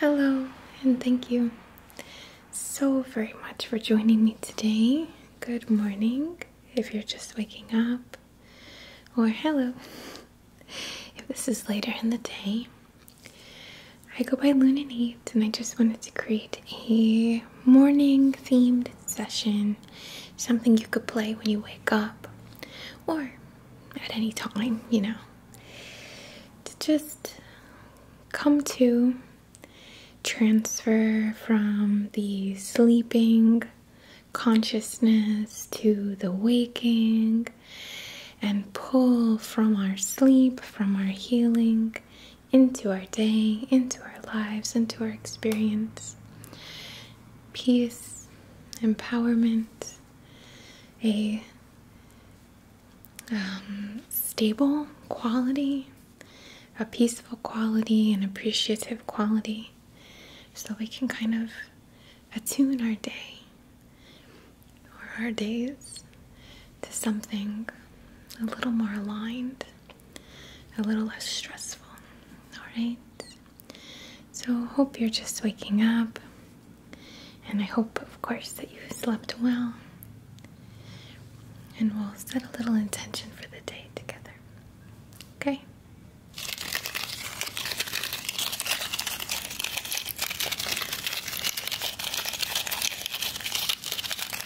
Hello, and thank you so very much for joining me today. Good morning if you're just waking up, or hello if this is later in the day. I go by Luna Nate, and I just wanted to create a morning themed session, something you could play when you wake up or at any time, you know, to just come to transfer from the sleeping consciousness to the waking and pull from our sleep, from our healing into our day, into our lives, into our experience. Peace, empowerment, a um, stable quality, a peaceful quality, an appreciative quality, so we can kind of attune our day or our days to something a little more aligned, a little less stressful. Alright? So, hope you're just waking up, and I hope, of course, that you slept well. And we'll set a little intention for the day together. Okay?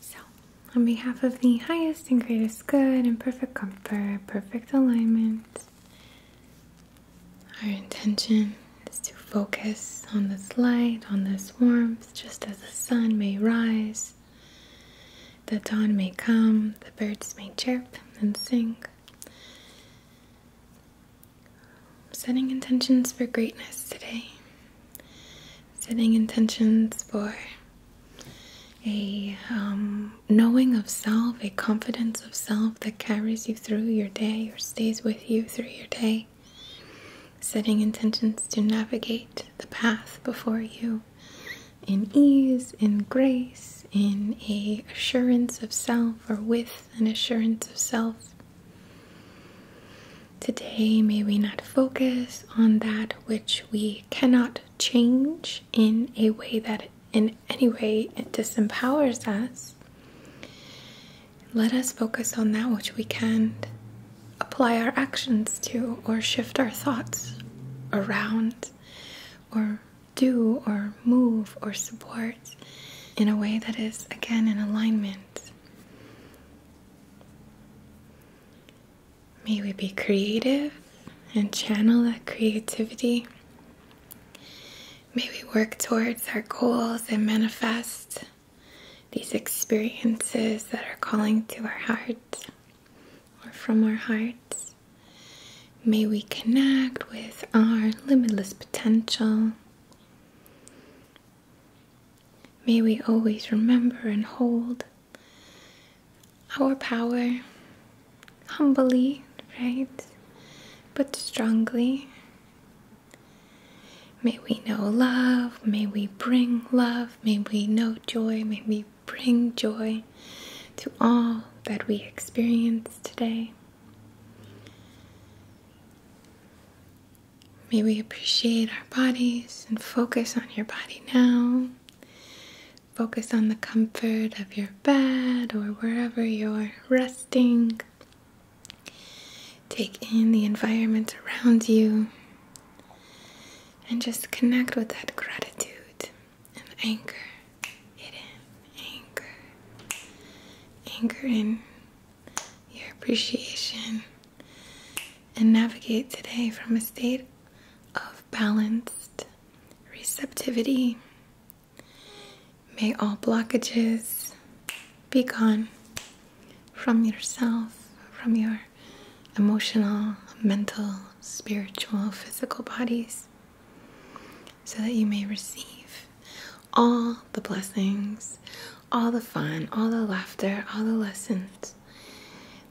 So, on behalf of the highest and greatest good and perfect comfort, perfect alignment, our intention is to focus on this light, on this warmth, just as the sun may rise, the dawn may come, the birds may chirp and sing. Setting intentions for greatness today setting intentions for a um, knowing of self, a confidence of self that carries you through your day or stays with you through your day. Setting intentions to navigate the path before you in ease, in grace, in a assurance of self or with an assurance of self. Today, may we not focus on that which we cannot change in a way that, in any way, disempowers us. Let us focus on that which we can apply our actions to, or shift our thoughts around, or do, or move, or support in a way that is again in alignment May we be creative and channel that creativity. May we work towards our goals and manifest these experiences that are calling to our hearts or from our hearts. May we connect with our limitless potential. May we always remember and hold our power humbly, right? But strongly. May we know love, may we bring love, may we know joy, may we bring joy to all that we experience today. May we appreciate our bodies and focus on your body now. Focus on the comfort of your bed or wherever you're resting. Take in the environment around you and just connect with that gratitude and anchor it in. Anchor. Anchor in your appreciation, and navigate today from a state of balanced receptivity. May all blockages be gone from yourself, from your emotional, mental, spiritual, physical bodies, so that you may receive all the blessings, all the fun, all the laughter, all the lessons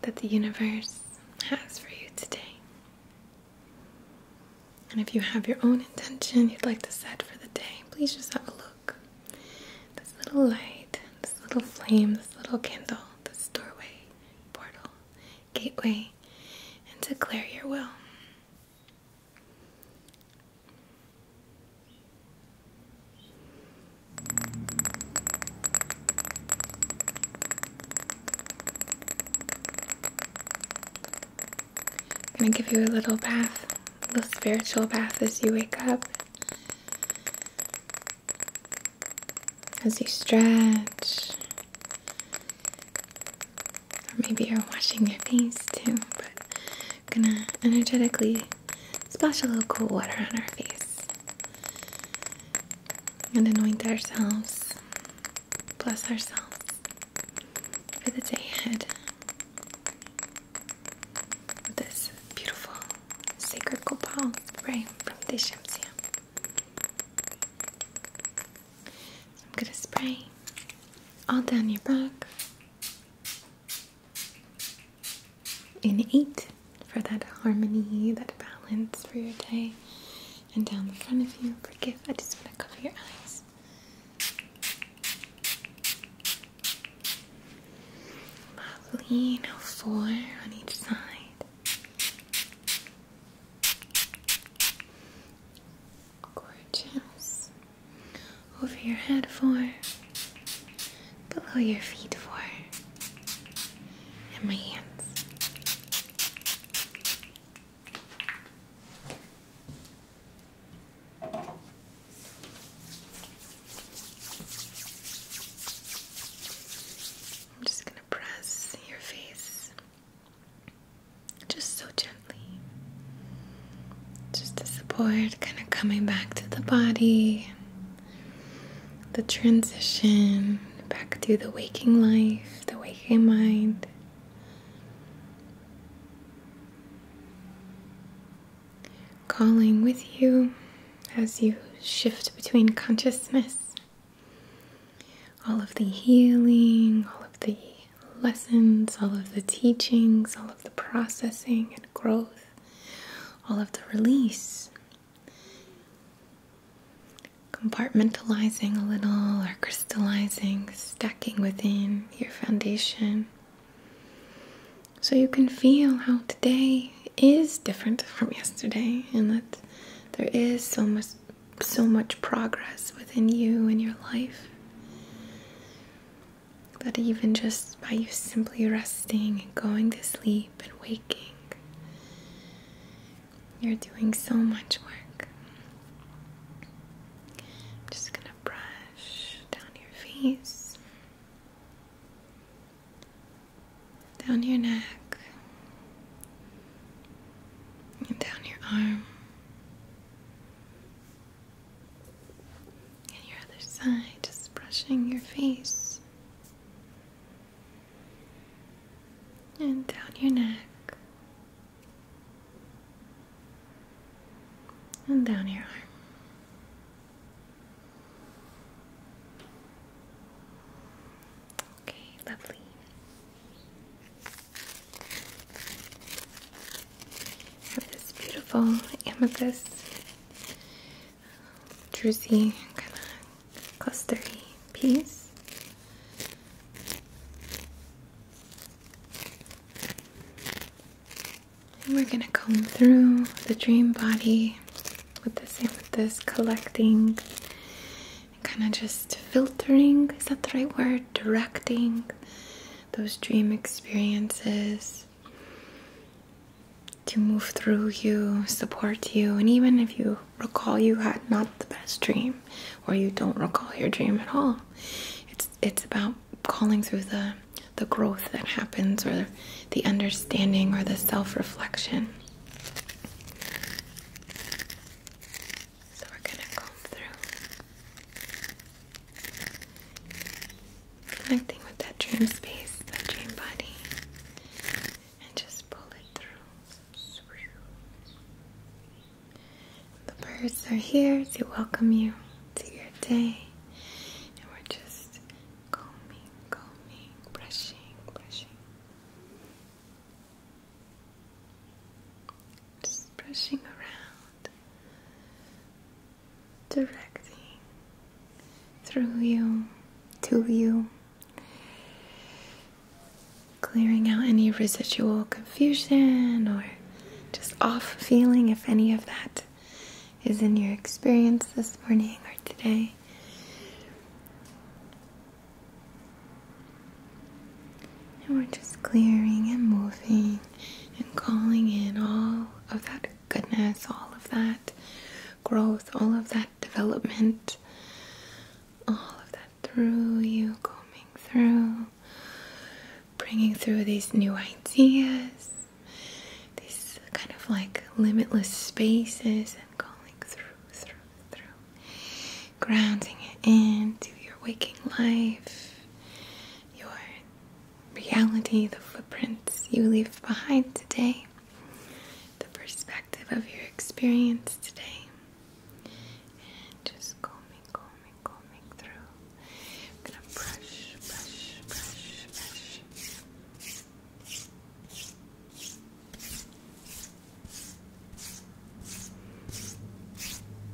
that the universe has for you today. And if you have your own intention you'd like to set for the day, please just have a look. This little light, this little flame, this little candle, this doorway, portal, gateway, and declare your will i gonna give you a little bath, a little spiritual bath as you wake up. As you stretch, or maybe you're washing your face too, but gonna energetically splash a little cool water on our face and anoint ourselves, bless ourselves for the day ahead with this beautiful sacred copal spray from Deshamsia. I'm gonna spray all down your back. In 8 for that harmony, that balance for your day. And down the front of you, forgive, I just want to cover your eyes. Lovely, 4 on each side. Gorgeous over your head for, below your feet for, and my hands. I'm just going to press your face just so gently just the support kind of coming back to the body, the transition back to the waking life, the waking mind. Calling with you as you shift between consciousness, all of the healing, all of the lessons, all of the teachings, all of the processing and growth all of the release. Compartmentalizing a little or crystallizing, stacking within your foundation. So you can feel how today is different from yesterday and that there is so much so much progress within you and your life. But even just by you simply resting and going to sleep and waking, you're doing so much work. just gonna brush down your face, down your neck, and down your arm. And your other side, just brushing your face and down your neck and down your arm. Okay, lovely have this beautiful amethyst druzy kind of clustery piece. And we're gonna comb through the dream body with this amethyst collecting kind of just filtering, is that the right word? Directing those dream experiences to move through you, support you, and even if you recall you had not the best dream or you don't recall your dream at all, it's it's about calling through the the growth that happens or the, understanding or the self-reflection. So we're gonna comb through. Connecting with that dream space, that dream body, and just pull it through. The birds are here to welcome you to your day, and we're just combing, combing, brushing, brushing. Just brushing around directing through you to you, clearing out any residual confusion or just off feeling if any of that is in your experience this morning or today. And we're just clearing and moving and calling in all of that goodness, all of that growth, all of that development, all of that through you, coming through, bringing through these new ideas, these kind of like limitless spaces, and calling through, through, through, grounding it into your waking life, your reality, the footprints you leave behind today, the perspective of your experience today. And just combing, combing, combing through. I'm gonna brush, brush, brush, brush.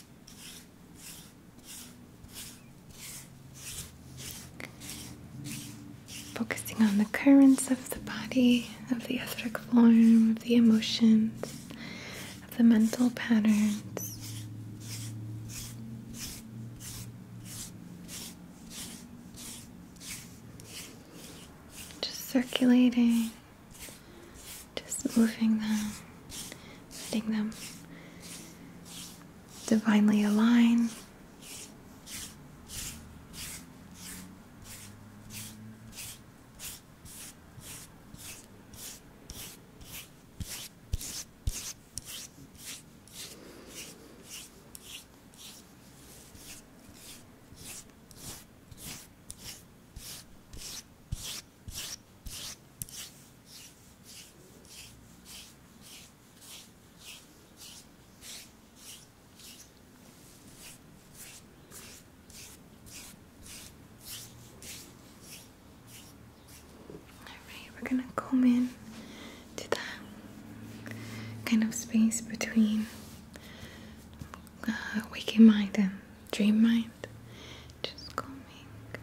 Focusing on the currents of the body, of the etheric form, of the emotions, of the mental patterns. Just circulating just moving them, letting them divinely align. Alright, we're gonna come in to that kind of space between uh, waking mind and dream mind just coming through.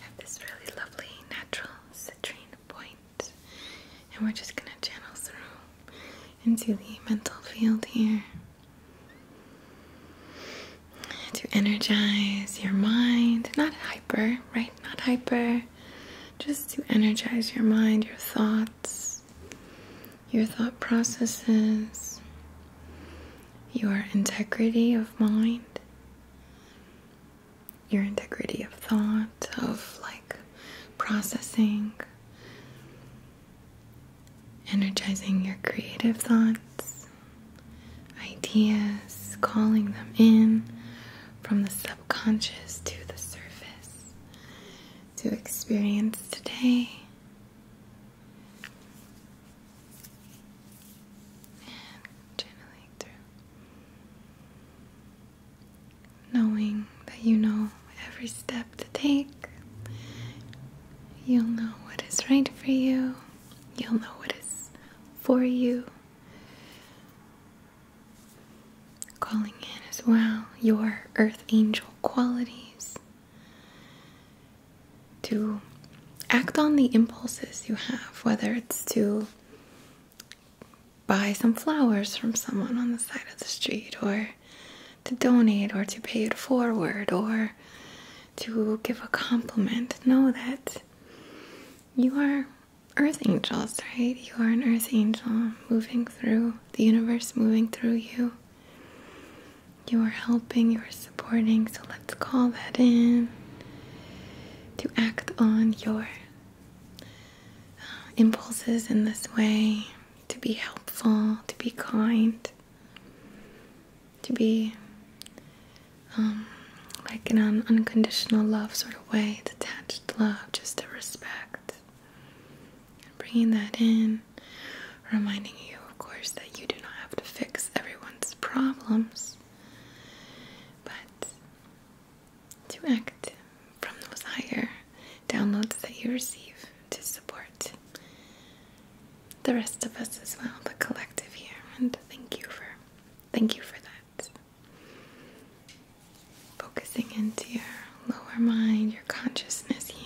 Have this really lovely natural citrine point, and we're just gonna channel through into the mental field here to energize your mind. Not hyper, right? Not hyper. Just to energize your mind, your thoughts, your thought processes, your integrity of mind your integrity of thought, of like processing, energizing your creative thoughts, ideas, calling them in from the subconscious to the surface to experience today channeling through. Knowing that you know every step to take, you'll know what is right for you, you'll know what is for you. Calling in as well your earth angel qualities to act on the impulses you have, whether it's to buy some flowers from someone on the side of the street, or to donate, or to pay it forward, or to give a compliment. Know that you are earth angels, right? You are an earth angel moving through the universe, moving through you. You are helping, you are supporting, so let's call that in to act on your uh, impulses in this way to be helpful, to be kind, to be um, like an unconditional love sort of way, detached love, just a respect. And bringing that in, reminding you, of course, that you do not have to fix everyone's problems. But to act from those higher downloads that you receive to support the rest of us as well, the collective here, and thank you for thank you for that. Focusing into your lower mind, your consciousness here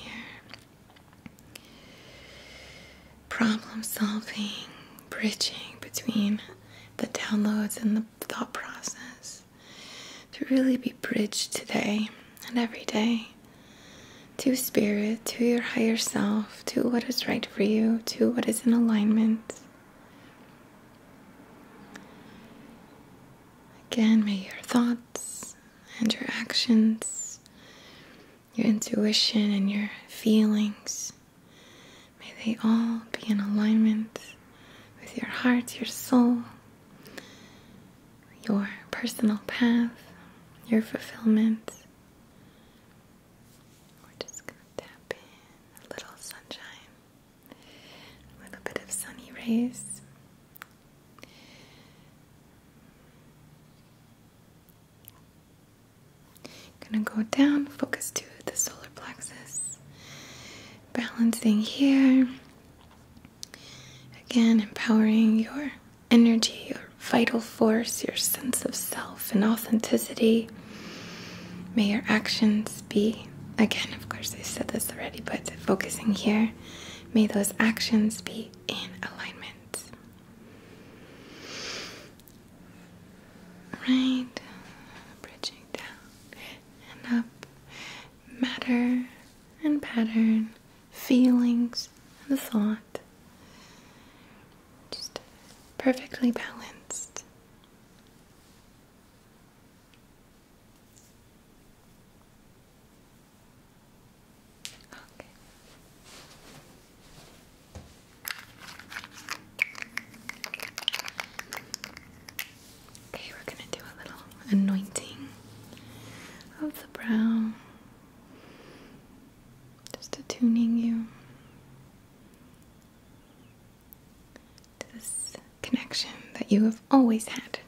problem solving, bridging between the downloads and the thought process. To really be bridged today and every day to spirit, to your higher self, to what is right for you, to what is in alignment. Again, may your thoughts and your actions your intuition and your feelings. May they all be in alignment with your heart, your soul, your personal path, your fulfillment. We're just going to tap in a little sunshine, a little bit of sunny rays. Gonna go down, focus to the solar plexus, balancing here. Again, empowering your energy, your vital force, your sense of self and authenticity. May your actions be, again, of course, I said this already, but focusing here, may those actions be in alignment right, bridging down and up, matter and pattern, feelings and thought, just perfectly balanced. Okay. Okay, we're going to do a little anointing of the brow. Just attuning you to this connection that you have always had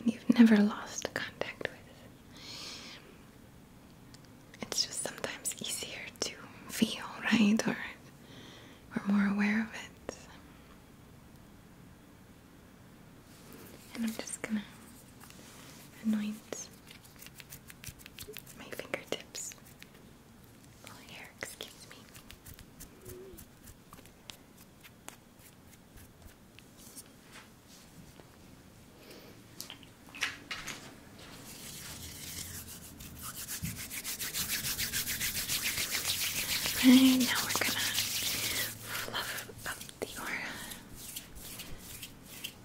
and you've never lost contact with. It's just sometimes easier to feel, right? Or we're more aware of it. And I'm just gonna anoint my fingertips. Oh, here, excuse me. And now we're gonna fluff up the aura.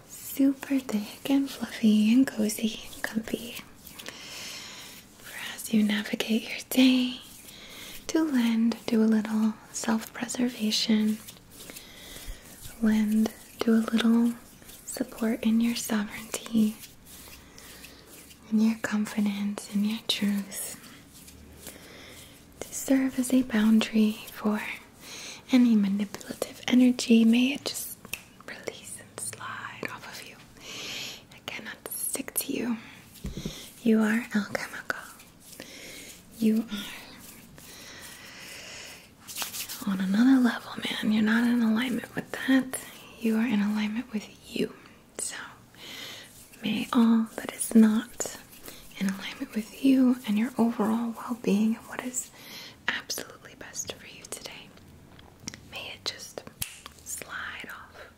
Super thick and fluffy and cozy and comfy for as you navigate your day to land, do a little self preservation Wind, do a little support in your sovereignty, in your confidence, in your truth, to serve as a boundary for any manipulative energy. May it just release and slide off of you. It cannot stick to you. You are alchemical. You are on another level, man. You're not in alignment with that. You are in alignment with you. So, may all that is not in alignment with you and your overall well being and what is absolutely best for you today, may it just slide off,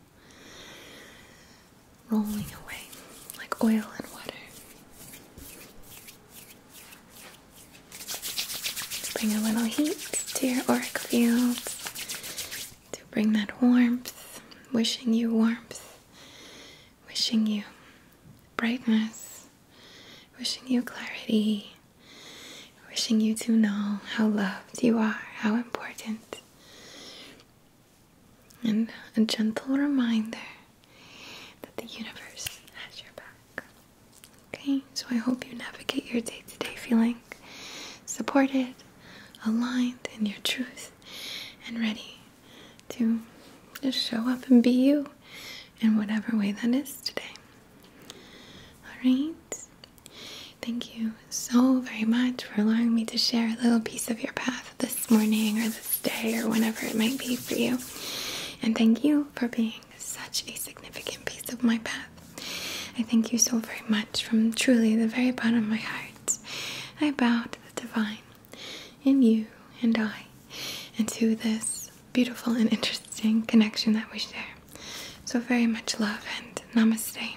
rolling away like oil and water. Bring a little heat to your auric fields to bring that warmth. Wishing you warmth, wishing you brightness, wishing you clarity, wishing you to know how loved you are, how important. And a gentle reminder that the universe has your back. Okay, so I hope you navigate your day to day feeling supported, aligned in your truth, and ready to just show up and be you in whatever way that is today. Alright? Thank you so very much for allowing me to share a little piece of your path this morning or this day or whenever it might be for you. And thank you for being such a significant piece of my path. I thank you so very much from truly the very bottom of my heart. I bow to the divine in you and I and to this beautiful and interesting connection that we share. So, very much love and namaste.